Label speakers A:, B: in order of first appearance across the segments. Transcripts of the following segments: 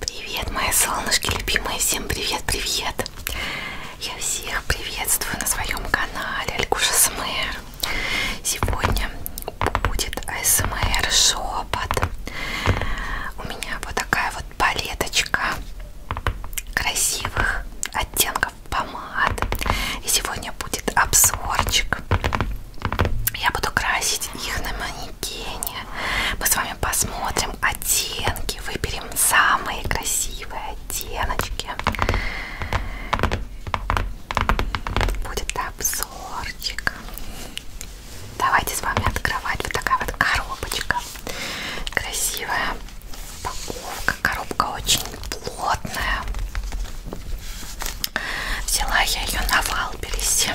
A: Привет, мои солнышки любимые, всем привет-привет! Я всех приветствую на своем канале Алькуша СМР. Сегодня будет АСМР шепот. У меня вот такая вот палеточка красивых оттенков помад. И сегодня будет обзорчик. Я буду красить их на день мы с вами посмотрим оттенки, выберем самые красивые оттеночки. Будет обзорчик. Давайте с вами открывать вот такая вот коробочка. Красивая упаковка. Коробка очень плотная. Взяла я ее на Валберисе.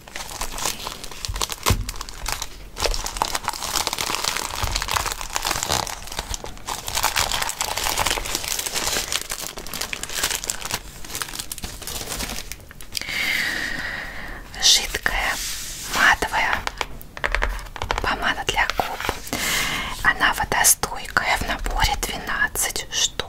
A: Жидкая матовая помада для губ. Она водостойкая в наборе 12 штук.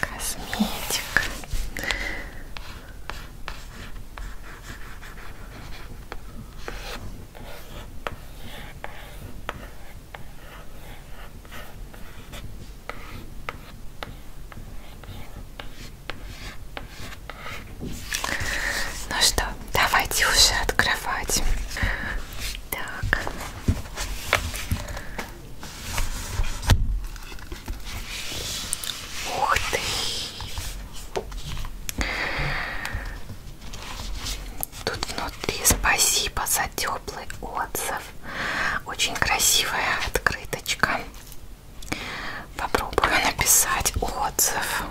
A: Косметика. Ну что, давайте уже открывать. Так. Ух ты! Тут внутри спасибо за теплый отзыв. Очень красивая открыточка. Попробую написать отзыв.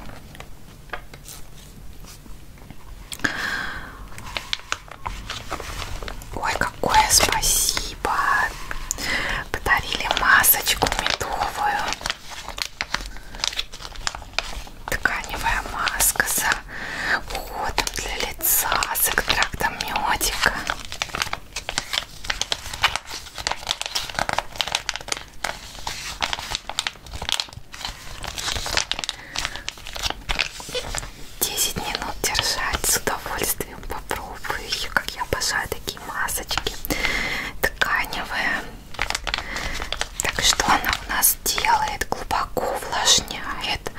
A: Ой, какое спасибо! Подарили масочку медовую. Тканевая маска с уходом для лица, с экстрактом медика. 10 минут держать с удовольствием попробую еще как я обожаю такие масочки тканевые так что она у нас делает глубоко увлажняет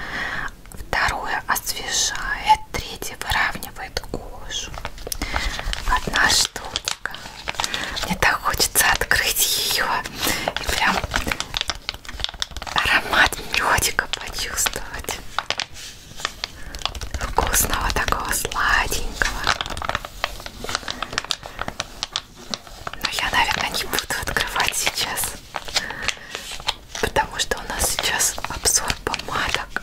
A: второе освежает третье выравнивает заманивает кожу. Одна штучка. Мне так хочется открыть ее и прям аромат медика почувствовать. Вкусного такого сладенького. Но я, наверное, не буду открывать сейчас, потому что у нас сейчас обзор помадок.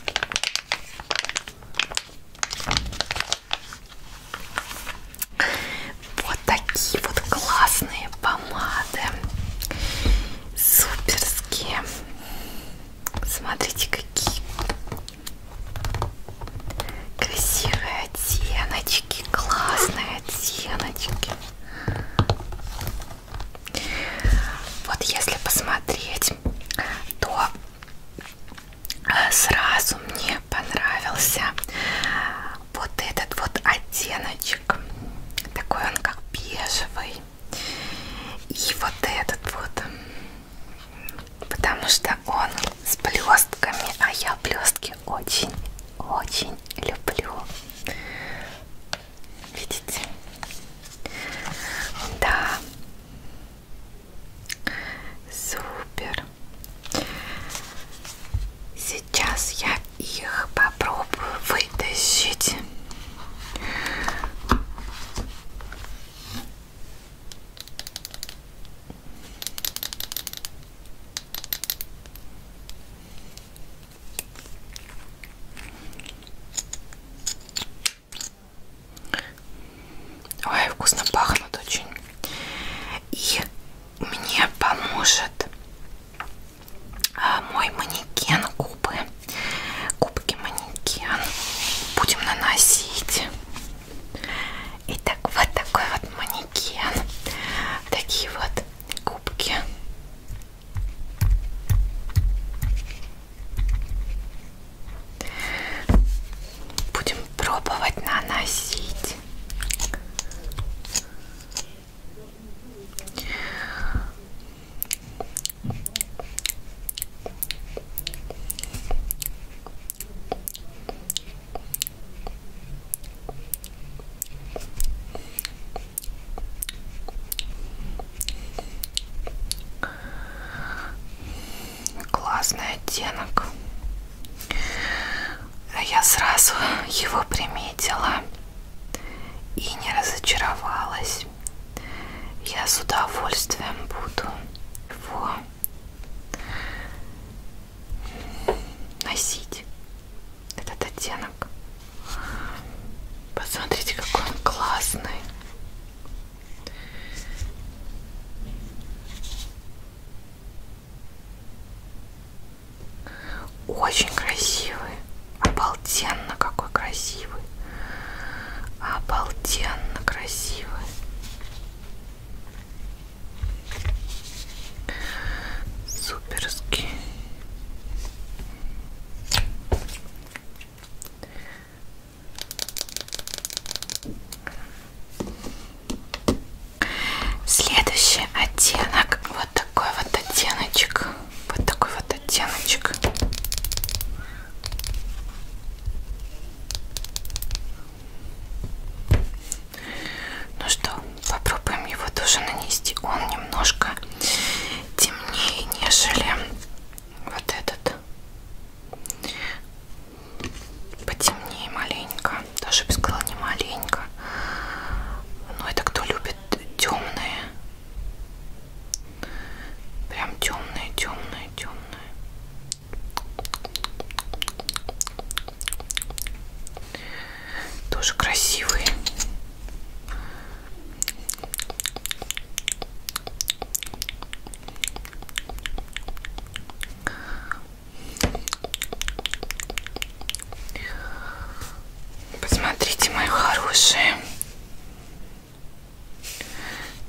A: Вот такие вот классные помады. Суперские. Смотрите, какие красивые оттеночки, классные оттеночки. Вот если посмотреть, то э, сразу мне понравился вот этот вот оттеночек. Такой он как бежевый. И вот этот вот. Потому что он с блестками, а я блестки очень-очень люблю. Видите? Да. Супер. Сейчас я их попробую вытащить. Ой, вкусно пахнут очень. И мне поможет а, мой манекен губы. Губки манекен. Будем наносить. Итак, вот такой вот манекен. Такие вот губки. Будем пробовать наносить. Классный оттенок. Я сразу его приметила и не разочаровалась. Я с удовольствием буду его носить, этот оттенок. Посмотрите, какой он классный. Очень красивый. Обалденно какой красивый. Обалденно красивый. Суперский. Следующий оттенок, вот такой вот оттеночек, вот такой вот оттеночек. Ну что, попробуем его тоже нанести. Он немножко темнее, нежели вот этот потемнее маленько даже бы сказала не маленько но ну, это кто любит темные прям темные темные темные тоже красивые Посмотрите, мои хорошие.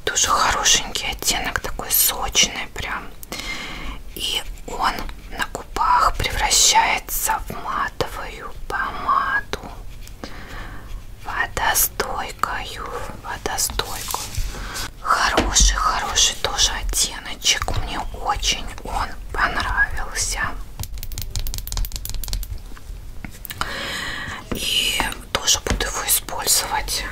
A: Тоже хорошенький оттенок, такой сочный прям. И он на губах превращается в матовую помаду. Водостой стойкою, водостойкую. А хороший, хороший тоже оттеночек. Мне очень он понравился. И тоже буду его использовать.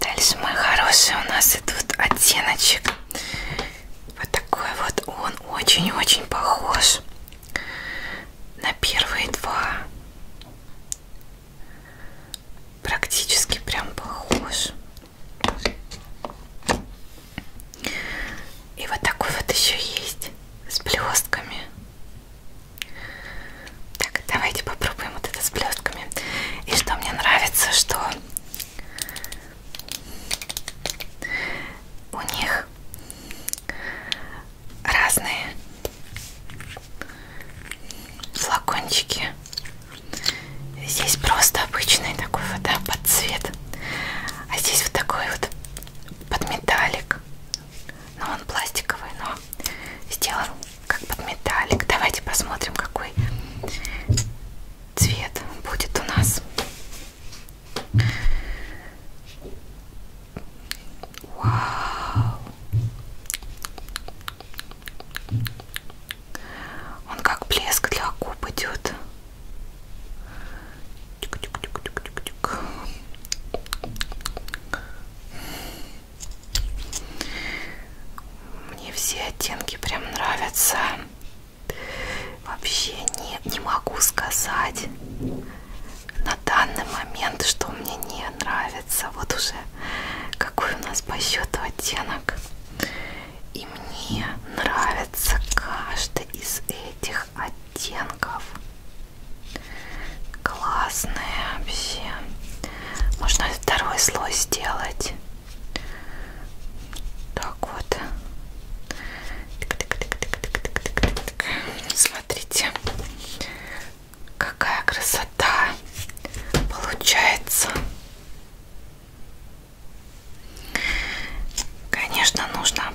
A: Дальше, мой хороший, у нас идут оттеночек. Вот такой вот он очень-очень похож на первые два практически прям похож. И вот такой вот еще есть с блестками. Так, давайте попробуем вот это с блестками. И что мне нравится, что у них разные флакончики. Здесь просто обычный такой вот да, под цвет, а здесь вот такой вот под металлик. Но ну, он пластиковый, но сделан как под металлик. Давайте посмотрим, какой цвет будет у нас. Вау! Он как блеск для губ идет. Тюк -тюк -тюк -тюк -тюк -тюк. Мне все оттенки прям нравятся. Вообще не, не могу сказать на данный момент, что мне не нравится. Вот уже какой у нас по счету оттенок. И мне нравится каждый из этих оттенков. Классные вообще. Можно второй слой сделать. Так вот. Тык -тык -тык -тык -тык -тык -тык. Так, смотрите, какая красота получается. Конечно, нужно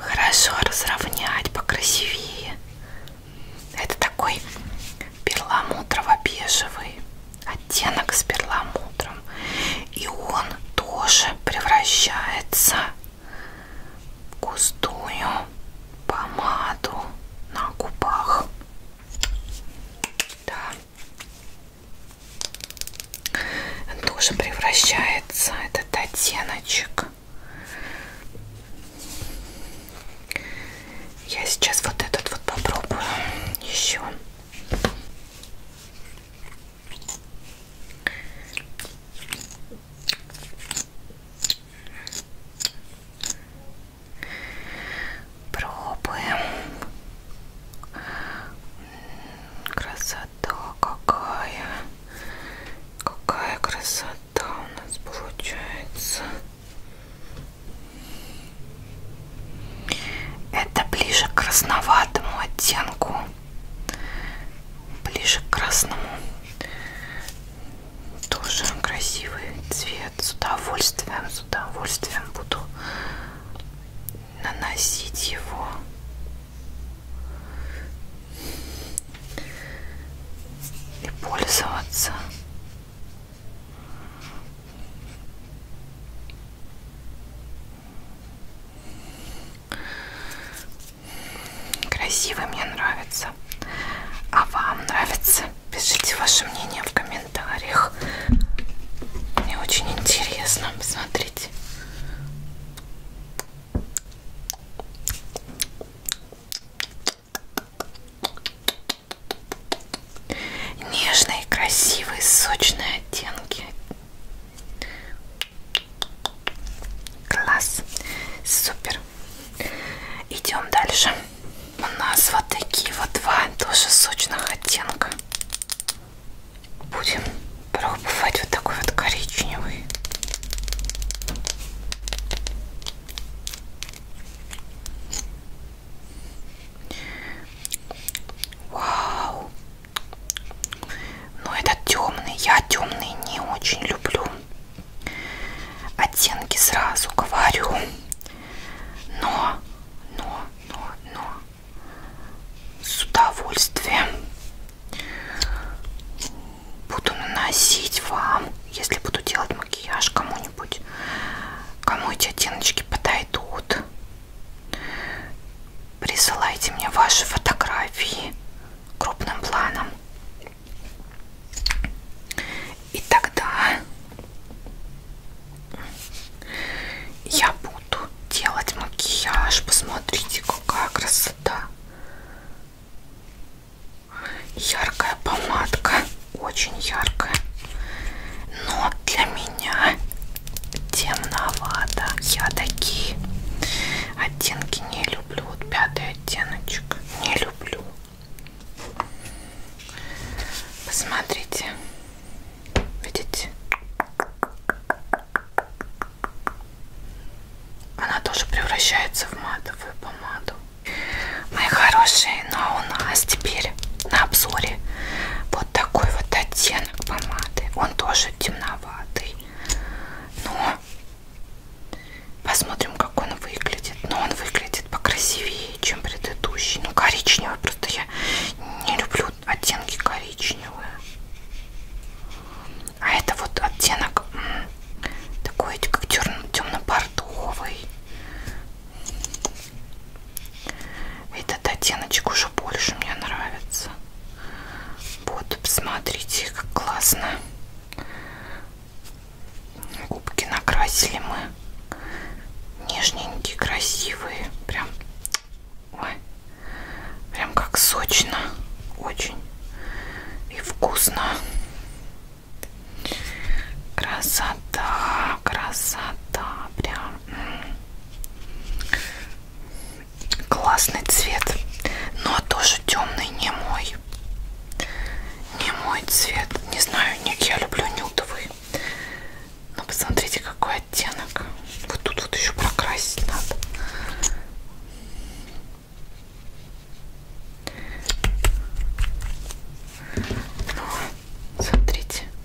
A: хорошо разровнять, покрасивее. Это такой перламутрово-бежевый оттенок с перламутром. И он тоже превращается в густую помаду на губах. Да. Он тоже превращается этот оттеночек. Я сейчас вот этот вот попробую еще. Пробуем. Красота какая. Какая красота у нас получается. Это ближе к красноватому оттенку. Ближе к красному. Тоже красивый цвет. С удовольствием, с удовольствием буду наносить его. И пользоваться. Красивый мне нравится. А вам нравится? Пишите ваше мнение в комментариях. Мне очень интересно. Посмотрите. Нежные, красивые, сочные оттенки. Класс. Супер. Идем дальше. У нас вот такие вот два тоже сочных оттенка. Будем пробовать вот такой вот коричневый. Вау, но этот темный, я темный не очень люблю. Оттенки сразу говорю. Но, но, но, но. С удовольствием буду наносить вам, если буду делать макияж кому-нибудь, кому эти оттеночки подойдут. Присылайте мне ваши фотографии крупным планом. И тогда я буду делать макияж. Посмотрите, какая красота. Яркая помадка, очень яркая. Но для меня темновато. Я такие оттенки не люблю. Вот пятый оттеночек не люблю. Посмотрите. Видите? Она тоже превращается в матовую помаду. Мои хорошие, но у нас теперь на обзоре вот вот такой вот оттенок помады. Он тоже темноватый. Но посмотрим, как он выглядит. Но он выглядит покрасивее, чем предыдущий. Ну, коричневый. Просто я не люблю оттенки коричневые. А это вот оттенок такой, как темно-бордовый. Этот оттеночек уже больше мне нравится. Вот, посмотрите, как классно. Губки накрасили мы. Нежненькие, красивые. Прям, ой, прям как сочно. Очень. И вкусно. Красота, красота, прям классный цвет, но тоже темный, не мой. Не мой цвет. Не знаю, нет, я люблю нюдовый. Но посмотрите, какой оттенок. Вот тут вот еще прокрасить надо. Ну, смотрите.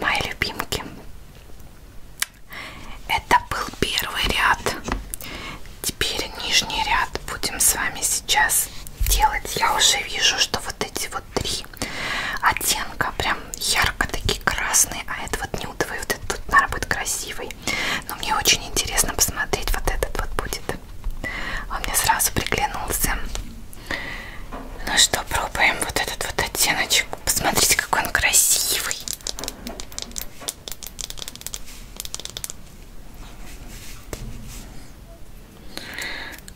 A: Мои любимки. Это был первый ряд. Теперь нижний ряд будем с вами сейчас делать. Я уже вижу, что вот эти вот три оттенка прям ярко такие красные, а этот вот нюдовый, вот этот вот, наверное, будет красивый но мне очень интересно посмотреть вот этот вот будет он мне сразу приглянулся ну что, пробуем вот этот вот оттеночек посмотрите, какой он красивый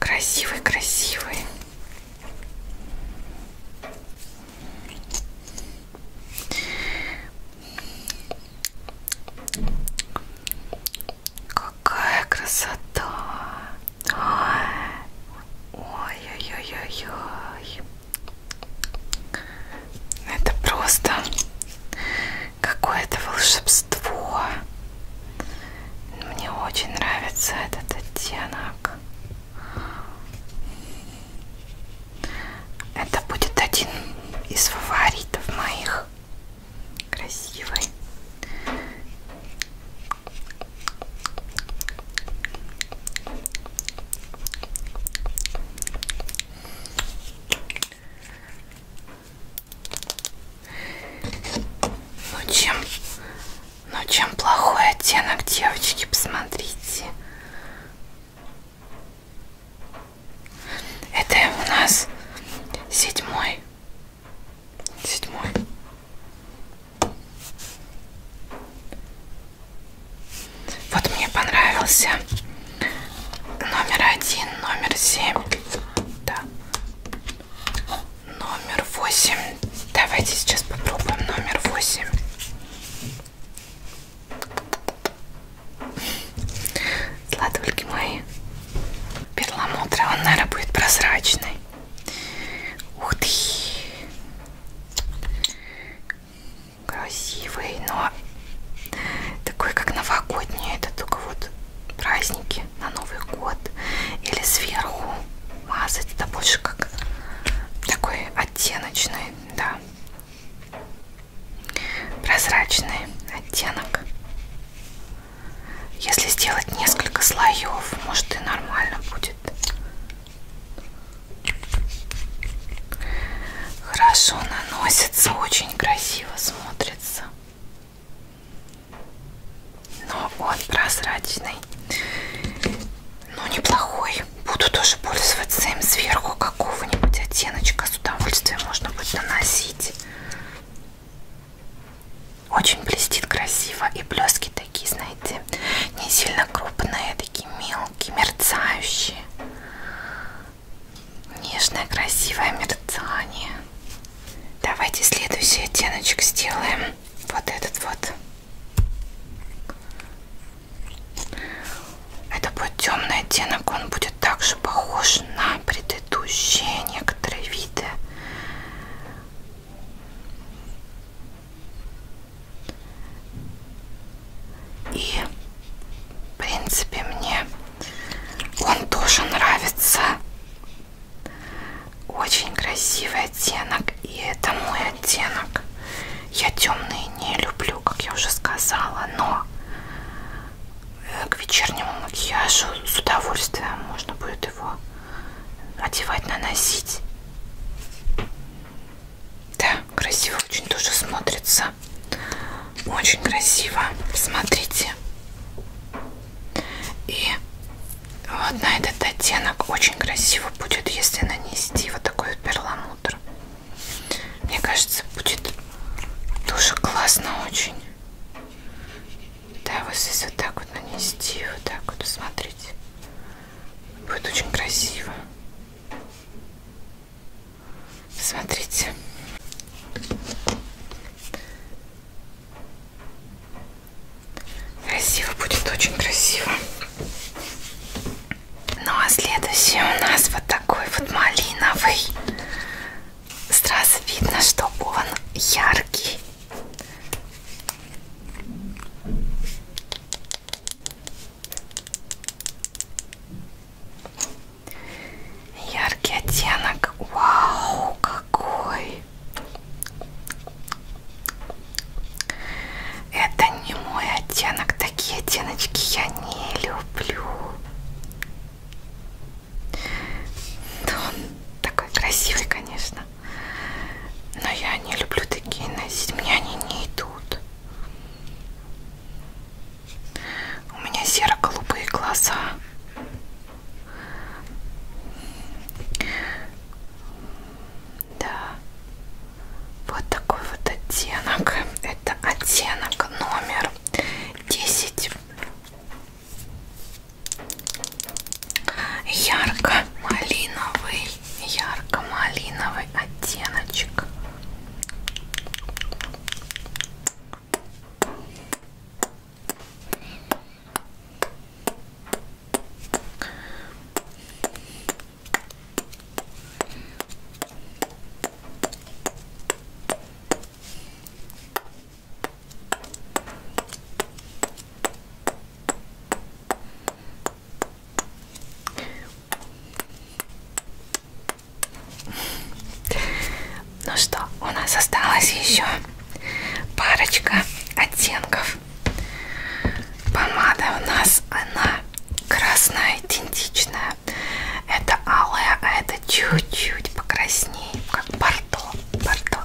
A: красивый, красивый Какая красота! Ой-ой-ой-ой-ой! Это просто какое-то волшебство. Мне очень нравится этот оттенок. Это будет один из фаворитов моих. Красивый. Ну чем, ну чем плохой оттенок, девочки, посмотрите. Это у нас седьмой. Седьмой. Вот мне понравился номер один, номер семь, да, номер восемь. Давайте сейчас попробуем номер восемь. Сладульки мои. Перламутра, он, наверное, будет прозрачный. Ух ты! Красивый, но такой, как новогодний. Это только вот праздники на Новый год. Или сверху мазать. Это больше как такой оттеночный, да прозрачный оттенок. Если сделать несколько слоев, может и нормально будет. Хорошо наносится, очень красиво смотрится. Но он прозрачный, но ну, неплохой. Буду тоже пользоваться им сверху какого-нибудь оттеночка. С удовольствием можно будет наносить. Очень блестит красиво. И блески такие, знаете, не сильно крупные, а такие мелкие, мерцающие. Нежное, красивое мерцание. Давайте следующий оттеночек сделаем. Вот этот вот. Это будет темный оттенок, он будет также похож на предыдущие некоторые виды. И, в принципе, мне он тоже нравится. Очень красивый оттенок, и это мой оттенок. Я темные не люблю люблю, как я уже сказала, но э, к вечернему макияжу с удовольствием можно будет его одевать, наносить. Да, красиво очень тоже смотрится. Очень красиво. Смотрите. И вот на этот оттенок очень красиво будет, если нанести вот такой вот перламутр. Мне кажется, будет тоже классно очень. Да, вот здесь вот так вот нанести, вот так вот посмотрите. Будет очень красиво. Смотрите. Красиво будет, очень красиво. Ну а следующий у нас вот такой вот малиновый. Сразу видно, что он яркий. Яркий оттенок. Вау, какой! Это не мой оттенок, Такие оттеночки я не люблю. Да он такой красивый, конечно. Но я не люблю такие носить. Мне они не идут. У меня серо-голубые глаза. Да. Вот такой вот оттенок. Это оттенок номер 10. Ярко-малиновый. Ярко-малиновый оттеночек. Ну что, у нас осталось еще парочка оттенков. Помада у нас она красная идентичная. Это алая, а это чуть-чуть покраснее, как бордо, бордо.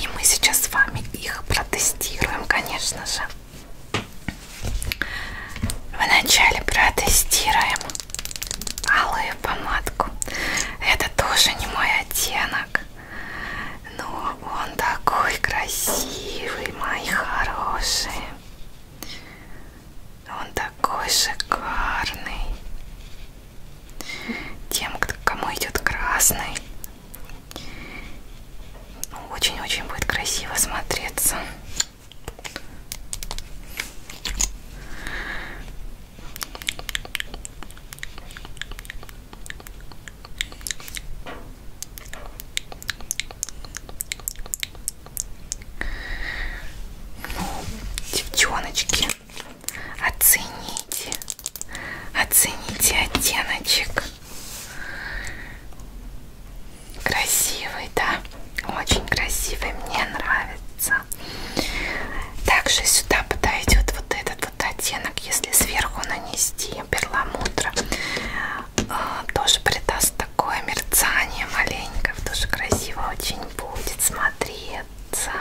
A: И мы сейчас с вами их протестируем, конечно же. Вначале протестируем алую помадку. Это тоже не мой оттенок, но он такой красивый, мои хорошие. Он такой шикарный. Тем, кому идет красный, ну, очень-очень будет красиво смотреться. Ну, девчоночки, оцените, оцените оттеночек. Красивый, да? Очень красивый, мне нравится. Также сюда подойдет вот этот вот оттенок, если сверху нанести перламутра. А, тоже придаст такое мерцание маленькое, тоже красиво очень будет смотреться.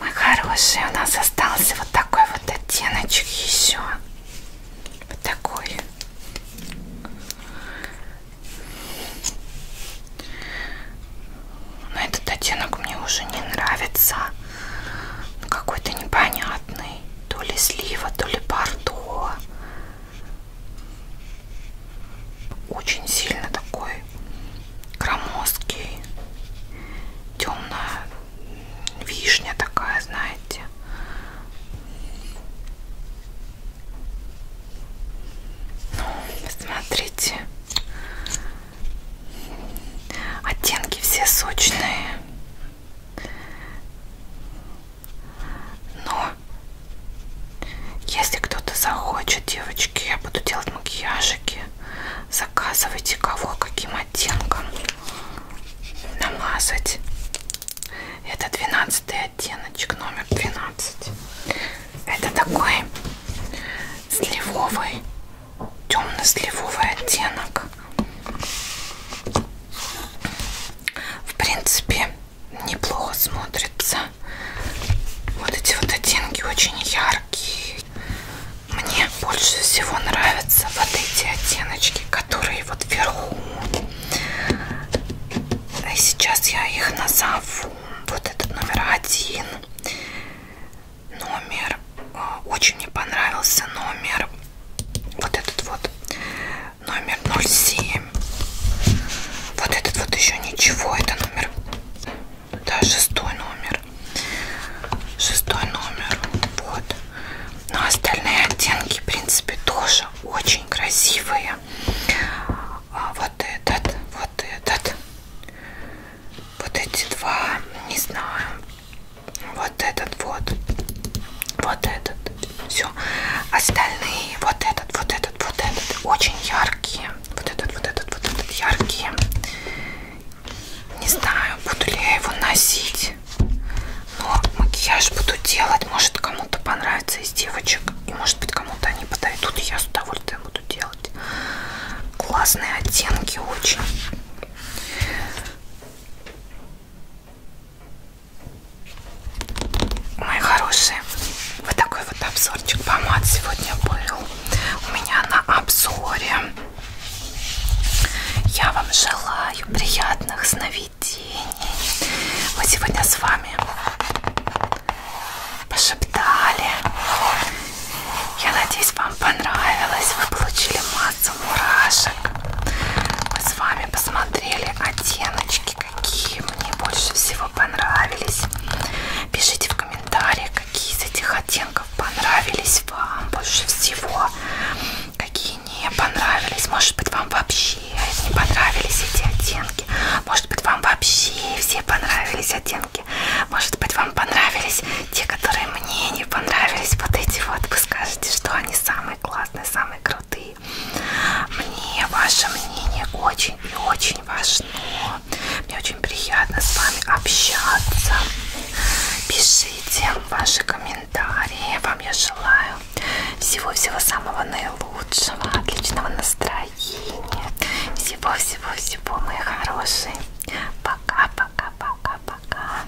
A: Мой хороший, у нас остался вот такой вот оттеночек еще. Вот такой. Но этот оттенок мне уже не нравится. Какой-то непонятный. То ли слива, то ли бордо. Очень сильно такой громоздкий, темная вишня такая, знаете. Ну, смотрите. Оттенки все сочные. Но если кто-то захочет, девочки, я буду делать макияжики. Заказывайте кого, каким оттенком намазать. Это 12 оттеночек, номер 12. Это такой сливовый, темно-сливовый оттенок. В принципе, неплохо смотрится. Вот эти вот оттенки очень яркие. Мне больше всего нравятся вот эти оттеночки, которые вот вверху. И а сейчас я их назову. Вот этот номер один. Номер. А, очень мне понравился номер. Вот этот вот номер 07. Вот этот вот еще ничего, это номер, да, шестой номер. Шестой номер, вот. Но остальные оттенки, в принципе, тоже очень красивые. А вот этот, вот этот. Вот эти два, не знаю. Вот этот вот. Вот этот все остальные вот этот вот этот вот этот очень яркие вот этот вот этот вот этот яркие не знаю буду ли я его носить но макияж буду делать может кому-то понравится из девочек и может быть кому-то они подойдут и я с удовольствием буду делать классные оттенки очень Мои хорошие, вот такой вот обзорчик помад сегодня был у меня на обзоре. Я вам желаю приятных сновидений. Мы сегодня с вами пошептали. Я надеюсь, вам понравилось. Вы получили массу мурашек. Мы с вами посмотрели оттеночки какие мне больше всего понравились. Пишите в комментариях, какие из этих оттенков понравились вам больше всего, какие не понравились. Может быть, вам вообще не понравились эти оттенки. Может быть, вам вообще все понравились оттенки. Может быть, вам понравились те, которые мне не понравились. Вот эти вот. Вы скажете, что они самые классные, самые крутые труды. Мне ваше мнение очень и очень важно. Мне очень приятно с вами общаться. Пишите ваши комментарии. Вам я желаю всего-всего самого наилучшего, отличного настроения. Всего-всего-всего, мои хорошие. Пока-пока-пока-пока.